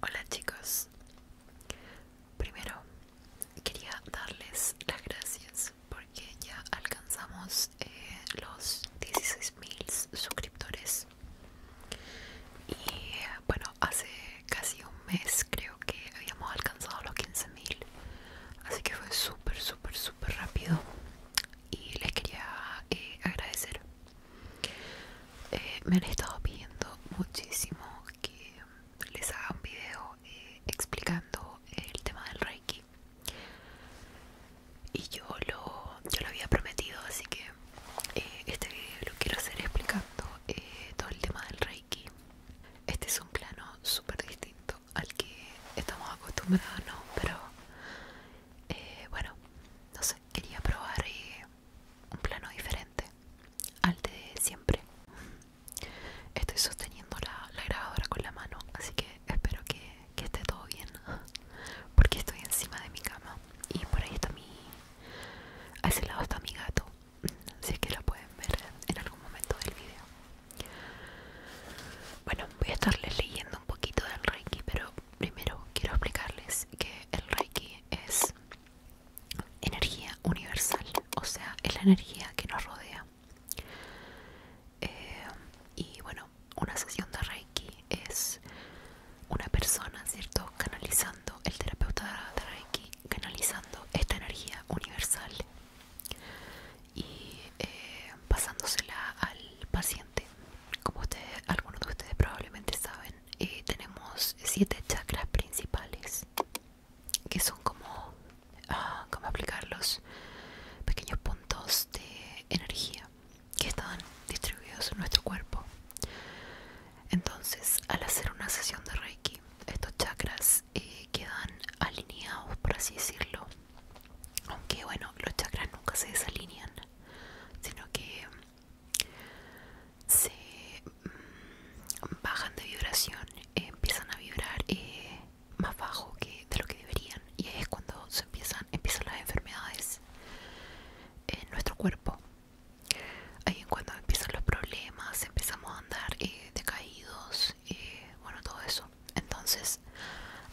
Hola chicos, primero quería darles las gracias porque ya alcanzamos eh, los los 16.000 suscriptores y eh, bueno, hace casi un mes creo que habíamos alcanzado los 15.000, así que fue súper, súper, súper rápido. Y les quería eh, agradecer. Eh, me han estado pidiendo muchísimo que les haga un video eh, explicando el tema del Reiki. Y yo lo, lo había prometido, así que este video lo quiero hacer explicando todo el tema del Reiki este es un plano súper distinto al que estamos acostumbrados, ¿no? Pero eh, bueno, no sé, quería probar eh, un plano diferente al de siempre. Estoy sosteniendo la, grabadora con la mano, así que espero que, que esté todo bien, porque estoy encima de mi cama y por ahí está mi... a ese lado está mi gato si es que lo pueden ver en algún momento del video. Bueno, voy a estarles leyendo un poquito del Reiki, pero primero quiero explicarles que el Reiki es energía universal, o sea, es la energía que nos rodea. Eh, y bueno, una sesión de Reiki es una persona, ¿cierto? Canalizando el terapeuta de Reiki canalizando esta energía universal y eh, pasándosela al paciente. Como algunos de ustedes probablemente saben, eh, tenemos siete chakras principales que son como, ah, como aplicar los pequeños puntos de energía que están distribuidos en nuestro cuerpo entonces, al hacer una sesión de Reiki, estos chakras eh, quedan alineados, por así decirlo. Aunque, bueno, los chakras nunca se desalinean, sino que mm, se mm, bajan de vibración, eh, empiezan a vibrar eh, más bajo que de lo que deberían. Y ahí es cuando se empiezan, empiezan las enfermedades en nuestro cuerpo ahí en cuando empiezan los problemas, empezamos a andar eh, decaídos, bueno, todo eso. Entonces,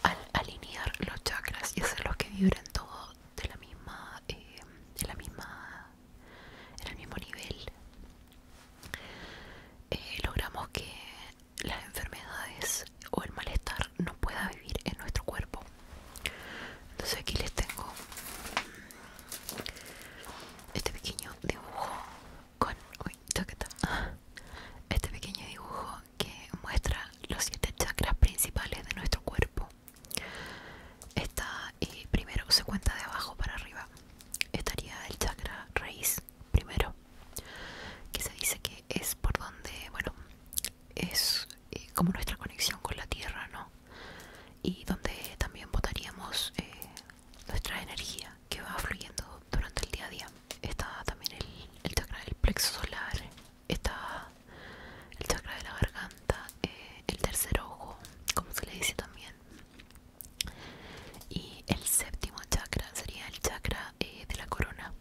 al alinear los chakras y hacerlos que vibren todo de la misma, eh, de la misma, en el mismo nivel, eh, logramos que las enfermedades o el malestar no pueda vivir en nuestro cuerpo. Entonces aquí les tengo este pequeño dibujo Este pequeño dibujo que muestra los siete chakras principales de nuestro cuerpo. Está, y primero se cuenta de abajo para arriba. Estaría el chakra raíz primero, que se dice que es por donde, bueno, es eh, como nuestra conexión con la tierra, ¿no? y donde también votaríamos eh, nuestra energía que va fluyendo durante el día a día. Está también el, chakra del plexo solar, está el chakra de la garganta, eh, el tercer ojo, como se le dice también. Y el séptimo chakra sería el chakra eh, de la corona.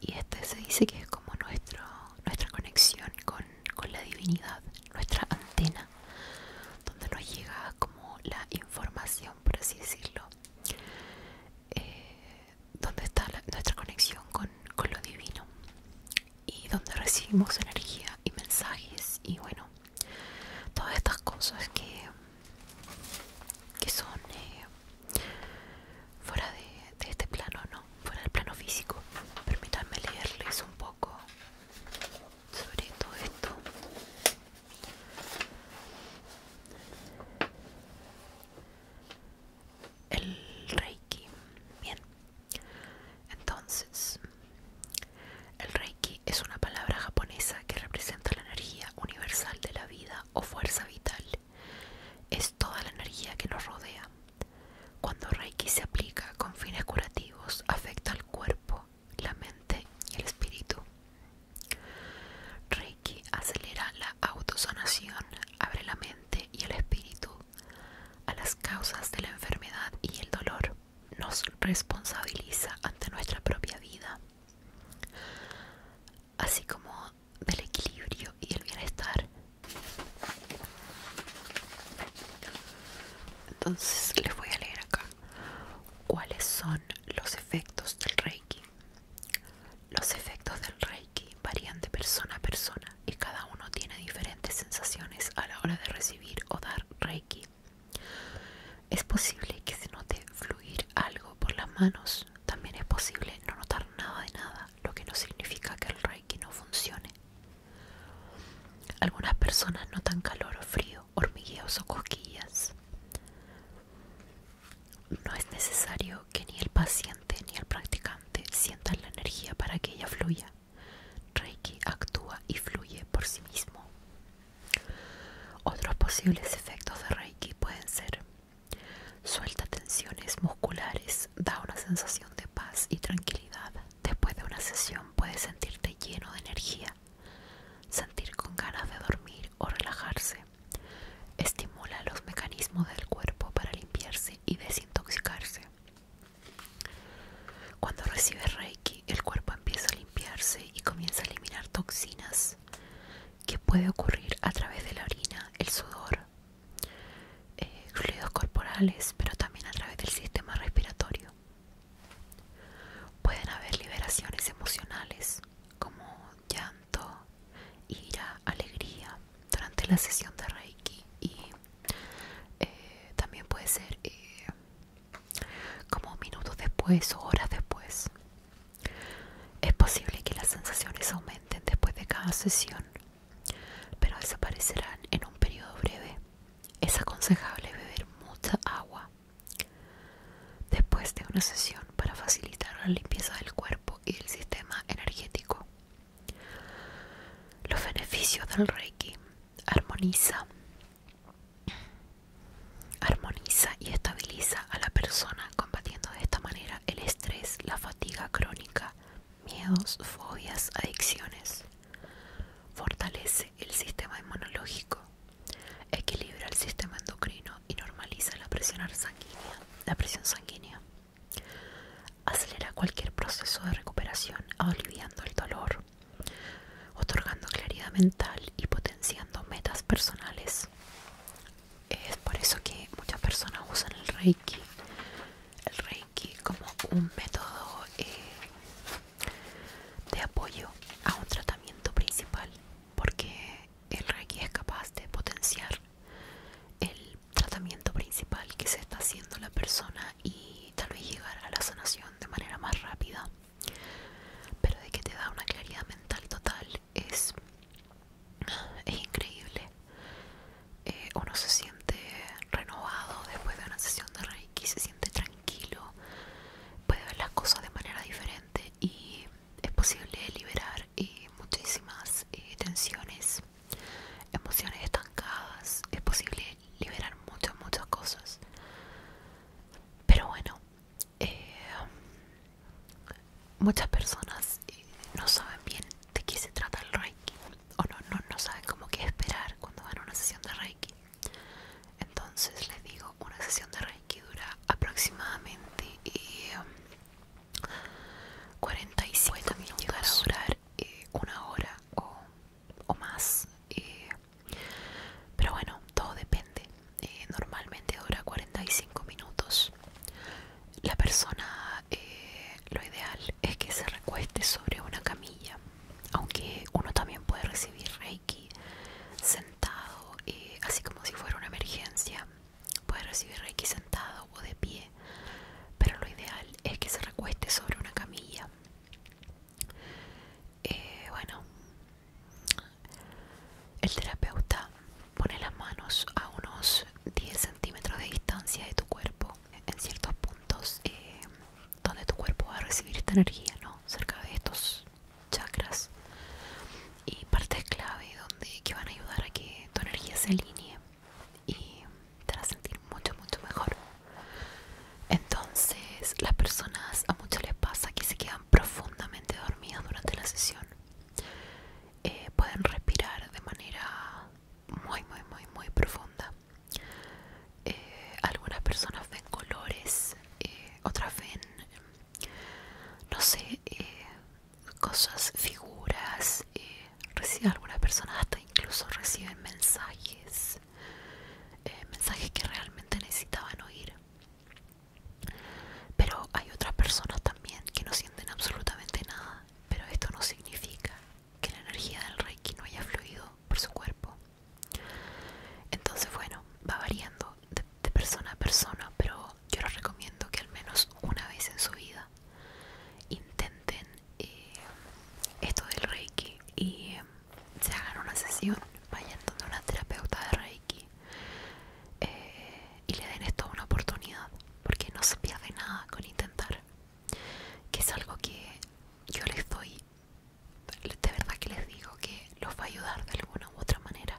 Y este se dice que es como nuestro, nuestra conexión con la divinidad nuestra antena donde nos llega como la información por así decirlo eh, donde está nuestra conexión con, lo divino y donde recibimos energía y mensajes y bueno todas estas cosas que que son eh, fuera de, de este plano no fuera del plano físico permítanme leerles un poco sobre todo esto el reiki bien entonces el reiki es una palabra japonesa que representa la energía universal de la vida o fuerza vital es toda la energía que nos rodea cuando Reiki se aplica con fines curativos, afecta al cuerpo, la mente y el espíritu. Reiki acelera la autosonación, abre la mente y el espíritu a las causas de la enfermedad y el dolor. Nos responsabiliza ante nuestra propia vida, así como del equilibrio y el bienestar entonces les voy a leer acá cuáles son los efectos del Reiki. Los efectos del Reiki varían de persona a persona y cada uno tiene diferentes sensaciones a la hora de recibir o dar Reiki. Es posible que se note fluir algo por las manos, también es posible no notar nada de nada, lo que no significa que el Reiki no funcione. Algunas personas notan calor o frío, hormigueos o cosquillas. No es necesario que ni el paciente ni el practicante sientan la energía para que ella fluya. Reiki actúa y fluye por sí mismo. Otros posibles efectos de Reiki pueden ser suelta tensiones musculares, da una sensación de paz y tranquilidad, Después de una sesión puedes sentirte lleno de energía, sentir con ganas de dormir o relajarse. Estimula los mecanismos del cuerpo para limpiarse y desintoxicarse. Cuando recibes Reiki, el cuerpo empieza a limpiarse y comienza a eliminar toxinas, que puede ocurrir a través de la orina, el sudor, eh, fluidos corporales, pero también a través del sistema respiratorio. Pueden haber liberaciones emocionales como llanto, ira, alegría durante la sesión de Reiki y eh, también puede ser eh, como minutos después o horas después. Es posible que las sensaciones aumenten después de cada sesión pero desaparecerán en un periodo breve. Es aconsejable beber mucha agua después de una sesión para facilitar la limpieza del cuerpo y del sistema energético. Los beneficios del Reiki armoniza armoniza y estabiliza a la persona combatiendo de esta manera el estrés, la fatiga crónica miedos, fobias, adicciones. Fortalece el sistema inmunológico, equilibra el sistema endocrino y normaliza la presión sanguínea. La presión sanguínea. Acelera cualquier proceso de recuperación, aliviando el dolor, otorgando claridad mental y potenciando metas personales. Es por eso que muchas personas usan El Reiki como un método eh, de apoyo a un tratamiento principal porque el reiki es capaz de potenciar el tratamiento principal que se está haciendo la persona y tal vez llegar a la sanación de manera más rápida pero de que te da una claridad mental total es, es increíble eh, uno se siente renovado después de una sesión de Reiki, se siente tranquilo, puede ver las cosas de manera diferente y es posible liberar eh, muchísimas eh, tensiones, emociones estancadas, es posible liberar muchas, muchas cosas. Pero bueno, muchas personas no saben bien de qué se trata el Reiki o no, no, saben cómo qué esperar cuando van a una sesión de Reiki. Entonces les digo, una sesión de Reiki dura aproximadamente 45 eh, minutos. a durar eh, una hora o, más. Eh, pero bueno, todo depende. normalmente dura 45 minutos. La persona eh, lo ideal es que se recueste sobre una camilla, aunque uno también puede recibir reiki sentado, eh, así como si fuera una emergencia, puede recibir reiki sentado o de pie, pero lo ideal es que se recueste sobre una camilla. Eh, bueno, el terapeuta pone las manos a unos 10 centímetros de distancia de tu cuerpo en ciertos puntos eh, donde tu cuerpo va a recibir esta energía, ¿no? Cerca de estos chakras y partes clave donde que van a ayudar a que tu energía se alinee y te a sentir mucho, mucho mejor. Entonces, las personas a muchos les pasa que se quedan profundamente dormidas durante la sesión. Eh, pueden respirar de manera muy muy muy muy profunda eh, algunas personas ven colores eh, otras ven no sé eh, cosas figuras algunas personas hasta incluso reciben mensajes mensajes que realmente necesitaban oír pero hay otras personas también que no sienten absolutamente nada pero esto no significa que la energía del reiki no haya fluido por su cuerpo. Entonces, bueno, va variando de, persona a persona, pero yo les recomiendo que al menos una vez en su vida intenten eh, esto del reiki y eh, se hagan una sesión, vayan donde una terapeuta de reiki eh, y le den esto una oportunidad, porque no se pierde nada con intentar que es algo que yo les doy, de verdad que les digo que los va a ayudar de alguna u otra manera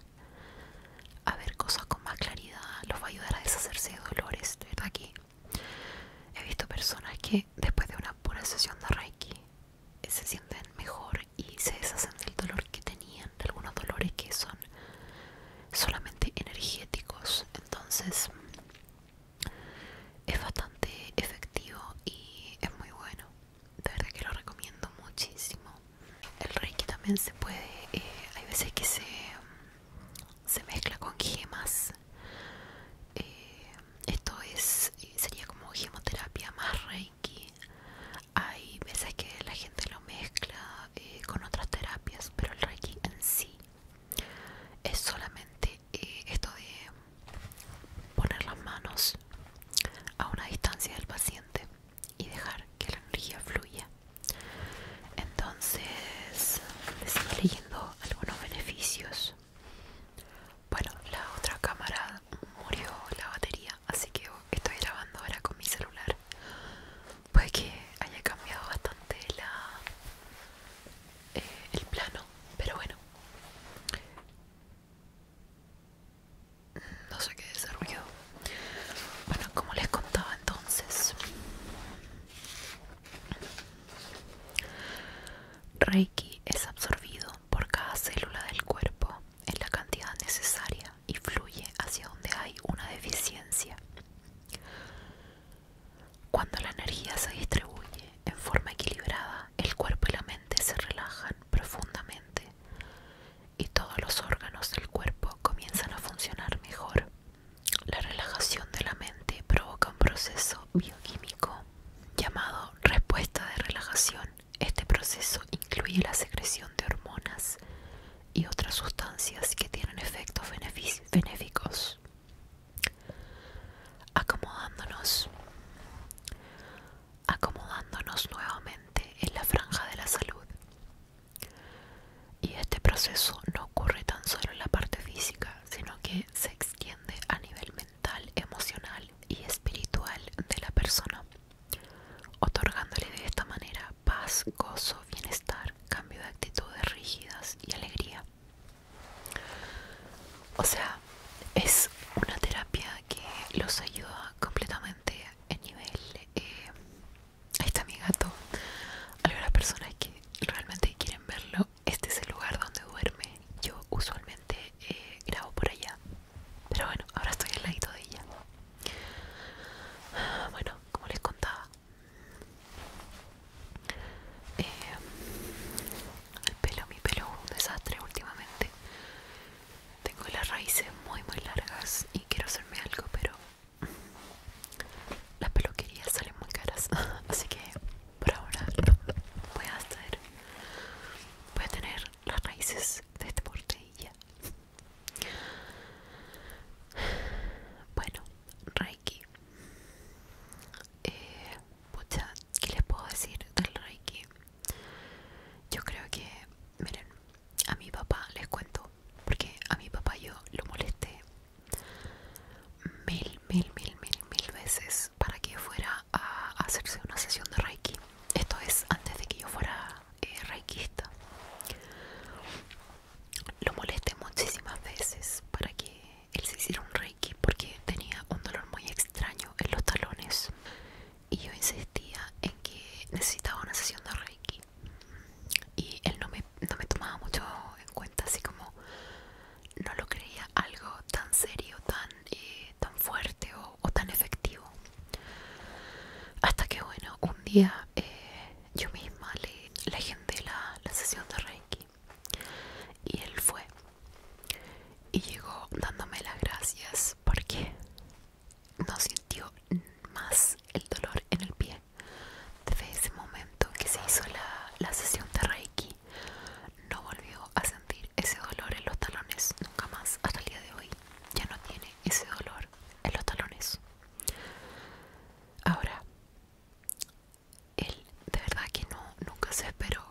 a ver cosas con más claridad, los va a ayudar a deshacerse de dolores, de verdad que he visto personas que después de una pura sesión de Reiki se sienten mejor y se deshacen del dolor que tenían, de algunos dolores que son solamente energéticos, entonces es bastante efectivo y es muy bueno de verdad que lo recomiendo muchísimo el reiki también se puede eh, hay veces que se mezcla con gemas eh, esto es sería como gemoterapia más reiki hay veces que la gente lo mezcla eh, con otras terapias pero el reiki en sí es solamente eh, esto de poner las manos a una distancia del paciente y dejar que la energía fluya entonces estoy leyendo algunos beneficios bueno la otra cámara murió la batería así que estoy grabando ahora con mi celular puede que haya cambiado bastante la, eh, el plano, pero bueno. No sé qué desarrolló. Bueno, como les contaba entonces, Reiki es absorbido por cada célula del cuerpo en la cantidad necesaria y fluye hacia donde hay una deficiencia. Cuando la energía se distribuye en forma equilibrada, el cuerpo y la mente se relajan profundamente y todos los órganos del cuerpo comienzan a funcionar mejor. La relajación de la mente provoca un proceso bioquímico llamado respuesta de relajación. Este proceso incluye la secreción de hormonas y otras sustancias que tienen efectos benéficos. Acomodándonos. Acomodándonos nuevamente en la franja de la salud. Y este proceso no ocurre tan solo en la parte física, sino que se extiende a nivel mental, emocional y espiritual de la persona, otorgándole de esta manera paz, gozo bienestar, cambio de actitudes rígidas y alegría. O sea, es una terapia que los ayuda completamente en nivel... Eh, ahí está mi gato. Algunas personas que realmente quieren verlo, este es el lugar donde duerme. Yo usualmente eh, grabo por allá. Pero bueno, ahora estoy al ladito de ella. Bueno, como les contaba, eh, el pelo, mi pelo es un desastre últimamente. Tengo las raíces muy muy largas y quiero hacerme algo, pero las peluquerías salen muy caras. Así que por ahora voy a hacer. Voy a tener las raíces de este porte bueno, Reiki. Eh, pucha, ¿qué les puedo decir del Reiki? Yo creo que, miren, a mi papá les cuento, porque a mi papá yo lo molesté mil, mil, mil, mil, mil veces para que fuera a hacerse una sesión de Reiki. Esto es antes de que yo fuera eh, reikiista lo molesté muchísimas veces para que él se hiciera un reiki porque tenía un dolor muy extraño en los talones y yo insistía en que necesitaba una sesión de reiki y él no me, tomaba mucho en cuenta así como no lo creía algo tan serio tan eh, tan fuerte o tan efectivo hasta que bueno un día eh, yo misma le, agendé la, sesión de Reiki y él fue y llegó dándome las gracias porque no sintió más el dolor en el pie desde ese momento que se hizo la, la sesión de Reiki no volvió a sentir ese dolor en los talones nunca más hasta el día de hoy ya no tiene ese dolor en los talones Ahora, él de verdad que no, nunca se esperó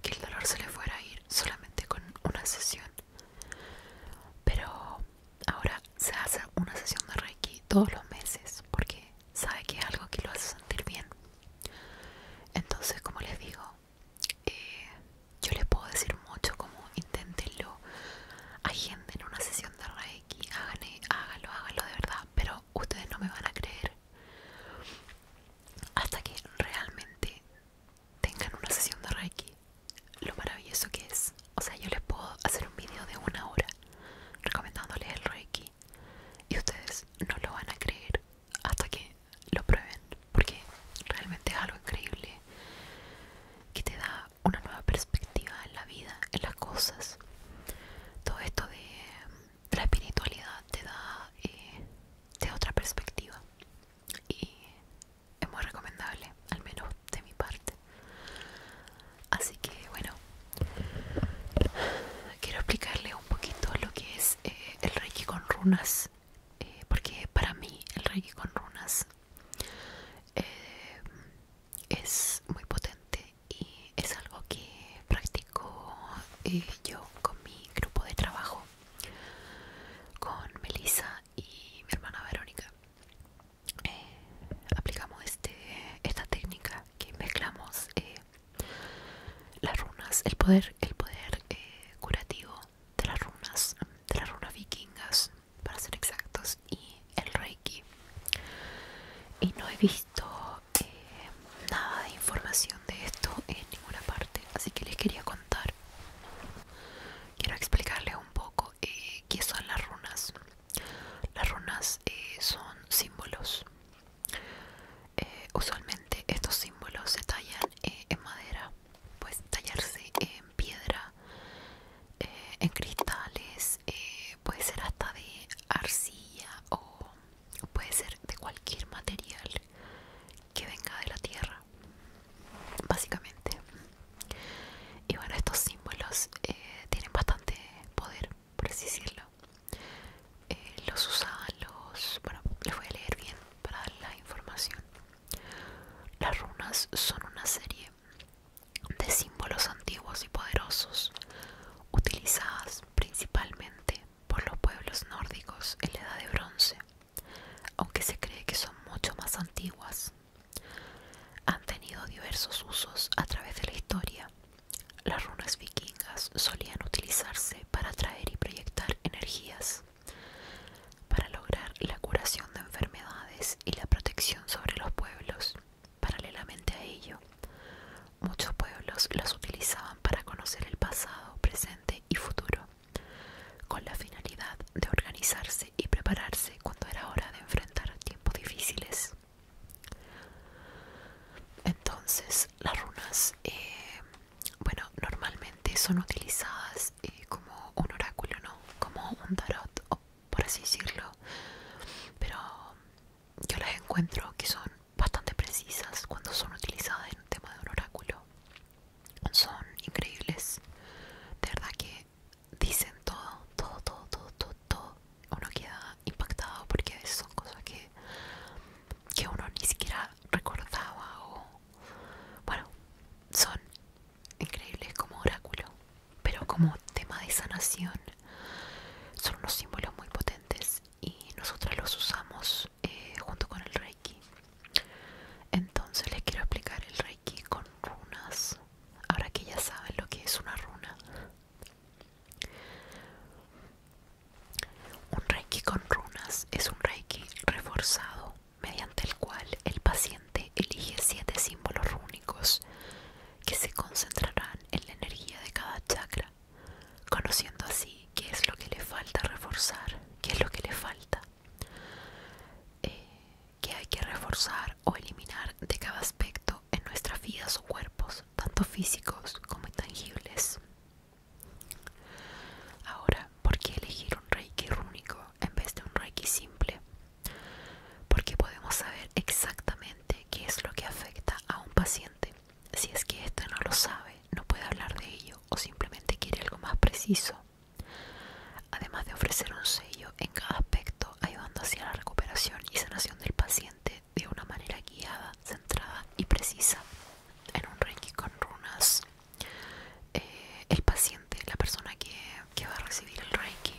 que el dolor se le fuera a ir solamente con una sesión. Pero ahora se hace una sesión de Reiki todos los meses porque sabe que es algo que lo hace sentir bien. Entonces, como les digo, eh, yo les puedo decir mucho como inténtenlo, hay gente en una sesión de Reiki, háganle, hágalo, hágalo de verdad, pero ustedes no me van a creer hasta que realmente tengan una sesión de Reiki. Lo maravilloso que es. O sea, yo les puedo hacer un video de una hora recomendándoles el Reiki y ustedes no lo van a creer hasta que lo prueben, porque realmente es algo increíble que te da una nueva perspectiva en la vida, en las cosas. Todo esto de, la espiritualidad te da eh, da otra perspectiva y es muy recomendable, al menos de mi parte. Así que bueno, quiero explicarle un poquito lo que es eh, el Reiki con runas, eh, porque para mí el Reiki con runas eh, es muy potente y es algo que practico eh, yo con mi grupo de trabajo con Melissa y mi hermana Verónica eh, aplicamos este, esta técnica que mezclamos las runas el poder el poder curativo de las runas de las runas vikingas para ser exactos y el reiki y no he visto eh, nada de información de esto en ninguna parte así que les quería contar quiero explicarles un poco eh, qué son las runas las runas eh, son símbolos usualmente estos símbolos se tallan en madera puede tallarse en piedra eh, en cristales, eh, puede ser hasta de arcilla o puede ser de cualquier material que venga de la tierra, básicamente. Y bueno, estos símbolos eh, tienen bastante poder, por así decirlo. los usaban los... Bueno, les voy a leer bien para dar la información. Las runas son una serie de símbolos antiguos y poderosos, utilizadas principalmente por los pueblos nórdicos en la Edad de Bronce, aunque se cree que son mucho más antiguas. Han tenido diversos usos a través de la historia. Las runas vikingas solían utilizarse para atraer y proyectar energías, para lograr la curación de enfermedades y la protección sobre los pueblos. Paralelamente a ello, muchos pueblos los utilizaban para conocer el pasado, presente y futuro, con la finalidad de organizarse y prepararse cuando era hora de enfrentar tiempos difíciles. Entonces, las runas, eh, bueno, normalmente son utilizadas eh, como un oráculo, ¿no? Como un tarot o por así decirlo pero yo las encuentro que son bastante precisas cuando son utilizadas en un tema de un oráculo son increíbles de verdad que dicen todo todo todo todo todo, uno queda impactado porque son cosas que que uno ni siquiera recordaba o bueno son increíble, como oráculo, pero como tema de sanación. Son unos símbolos muy potentes y nosotras los usamos eh, junto con el Reiki. Entonces les quiero explicar el Reiki con runas. Ahora que ya saben lo que es una runa. Un Reiki con runas es un Reiki reforzado mediante el cual el paciente elige siete símbolos rúnicos que se concentrarán en la energía de cada chakra, conociendo así qué es lo que le falta reforzar, qué es lo que le falta, Que eh, qué hay que reforzar o eliminar de cada aspecto en nuestras vidas o cuerpos, tanto físicos como intangibles. Ahora, ¿por qué elegir un reiki rúnico? en vez de un reiki simple, porque podemos saber exactamente qué es lo que afecta a un paciente. Si es que éste no lo sabe, no puede hablar de ello o simplemente quiere algo más preciso. Además de ofrecer un sello en cada aspecto, ayudando hacia la recuperación y sanación del paciente de una manera guiada, centrada y precisa. En un reiki con runas eh, el paciente, la persona que, va a recibir el reiki.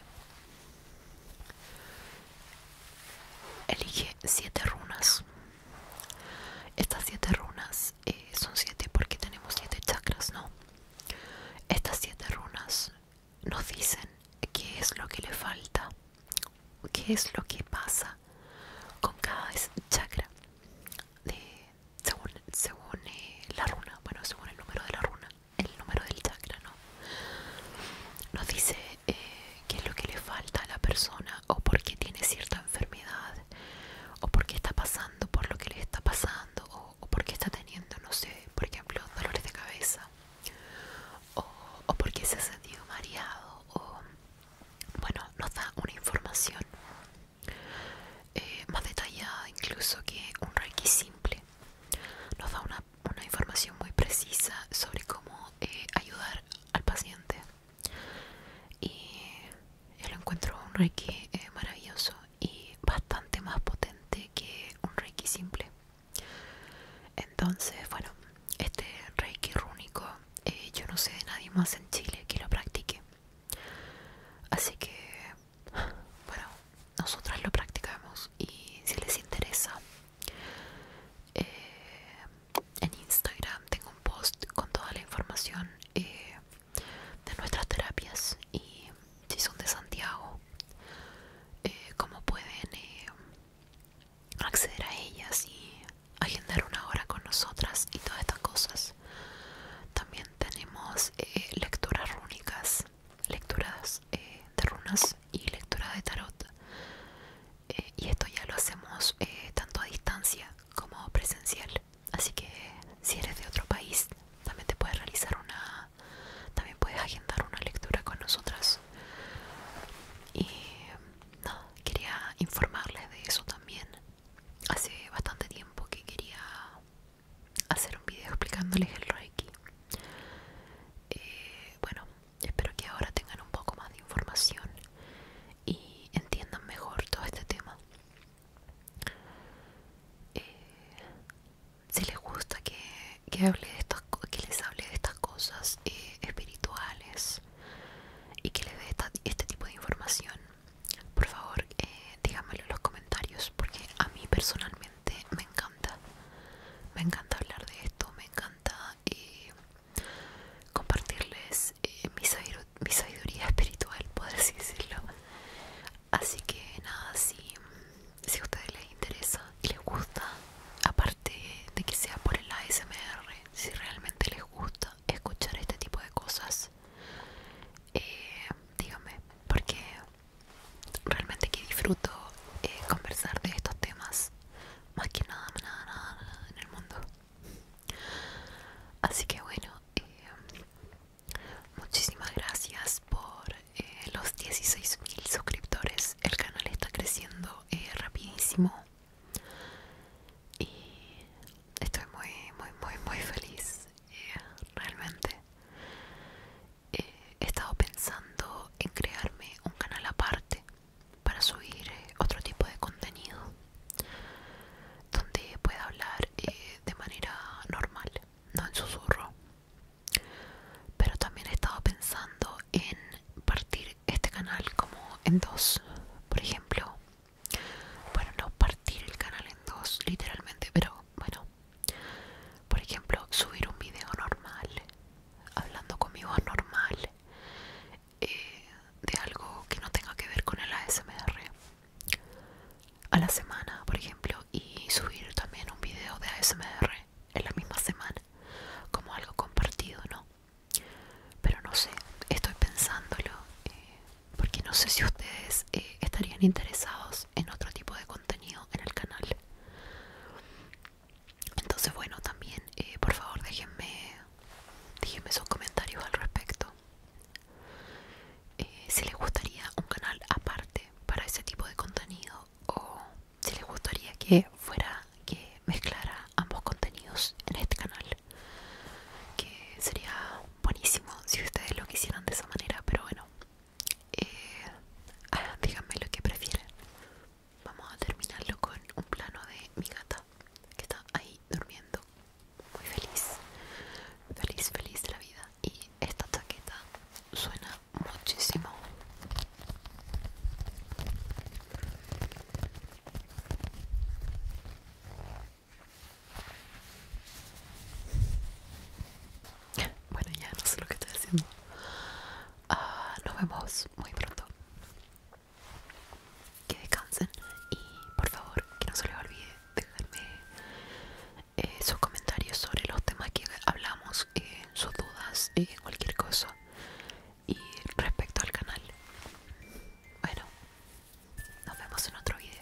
Elige siete runas. Estas siete runas eh, son siete porque tenemos siete chakras, ¿no? Estas siete runas nos dicen qué es lo que le falta, qué es lo que pasa con cada chakra, según, eh, la runa, bueno, según el número de la runa el número del chakra, ¿no? Nos dice eh, qué es lo que le falta a la persona o porque tiene cierta enfermedad o por qué está pasando por lo que le está pasando o, porque está teniendo, no sé, por ejemplo, dolores de cabeza o, porque se ha sentido mareado o bueno, nos da una información eh, más detallada incluso que un reiki simple. Nos da una, información muy precisa sobre cómo eh, ayudar al paciente. Y yo lo encuentro un reiki eh, maravilloso y bastante más potente que un reiki simple. Entonces, bueno, este reiki rúnico yo no sé de nadie más en Chile que lo practique. Así que, bueno, nosotras lo practicamos y si les interesa, eh, en Instagram tengo un post con toda la información eh, de nuestras terapias y si son de Santiago, eh, cómo pueden acceder a ellas y agendar una hora con nosotras y todas estas cosas. También tenemos eh, lecturas rúnicas, lecturas eh, de runas y lecturas de tarot. Eh, y esto ya lo hacemos tanto a distancia como presencial. Así que si eres de otro país, también te puedes realizar una, también puedes agendar una lectura con nosotras. Y no, quería informarles de eso también. Hace bastante tiempo que quería hacer un video explicándoles el Reiki. Eh, bueno, espero que ahora tengan un poco más de información y entiendan mejor todo este tema. Eh, si les gusta que, hable de estas, que les hable de estas cosas eh, espirituales y que les dé este tipo de información, por favor eh, díganmelo en los comentarios porque a mí personalmente me encanta me encanta hablar de esto me encanta eh, compartirles eh, mi, sabiduría espiritual por decirlo así que nada si, si a ustedes les interesa y les gusta aparte de que sea por el ASMR si realmente les gusta escuchar este tipo de cosas eh, dígame porque realmente que disfruto eh, conversar de estos temas más que nada, nada, nada, en el mundo. Así que bueno, eh, muchísimas gracias por eh, los los 16.000 suscriptores. El canal está creciendo rapidísimo y estoy muy, muy, muy, muy feliz eh, realmente eh, he estado pensando en crearme un canal aparte para subir eh, otro tipo de contenido donde pueda hablar de manera normal, no en susurro. Pero también he estado pensando en partir este canal como en dos. Por ejemplo, bueno no partir el canal en dos literalmente pero bueno por ejemplo subir un video normal hablando conmigo normal eh, de algo que no tenga que ver con el ASMR a la semana por ejemplo y subir también un video de ASMR en la misma semana como algo compartido no pero no sé estoy pensándolo eh, porque no sé si ustedes eh, estarían interesados en otro tipo de contenido en el canal entonces bueno también eh, por favor déjenme déjenme sus comentarios al respecto eh, si les gustaría un canal aparte para ese tipo de contenido o si les gustaría que fuera que mezclara ambos contenidos en este canal que sería buenísimo si ustedes lo quisieran de esa manera, pero bueno, eh, ah, díganme lo que prefieren. Vamos a terminarlo con un plano de mi gata que está ahí durmiendo, muy feliz, feliz, feliz de la vida. Y esta chaqueta suena muchísimo. Bueno, ya no sé lo que estoy haciendo. Ah, nos vemos muy pronto. Que descansen y por favor que no se les olvide dejarme eh, sus comentarios sobre los temas que hablamos, eh, sus dudas, y eh, cualquier cosa y respecto al canal. Bueno, nos vemos en otro video.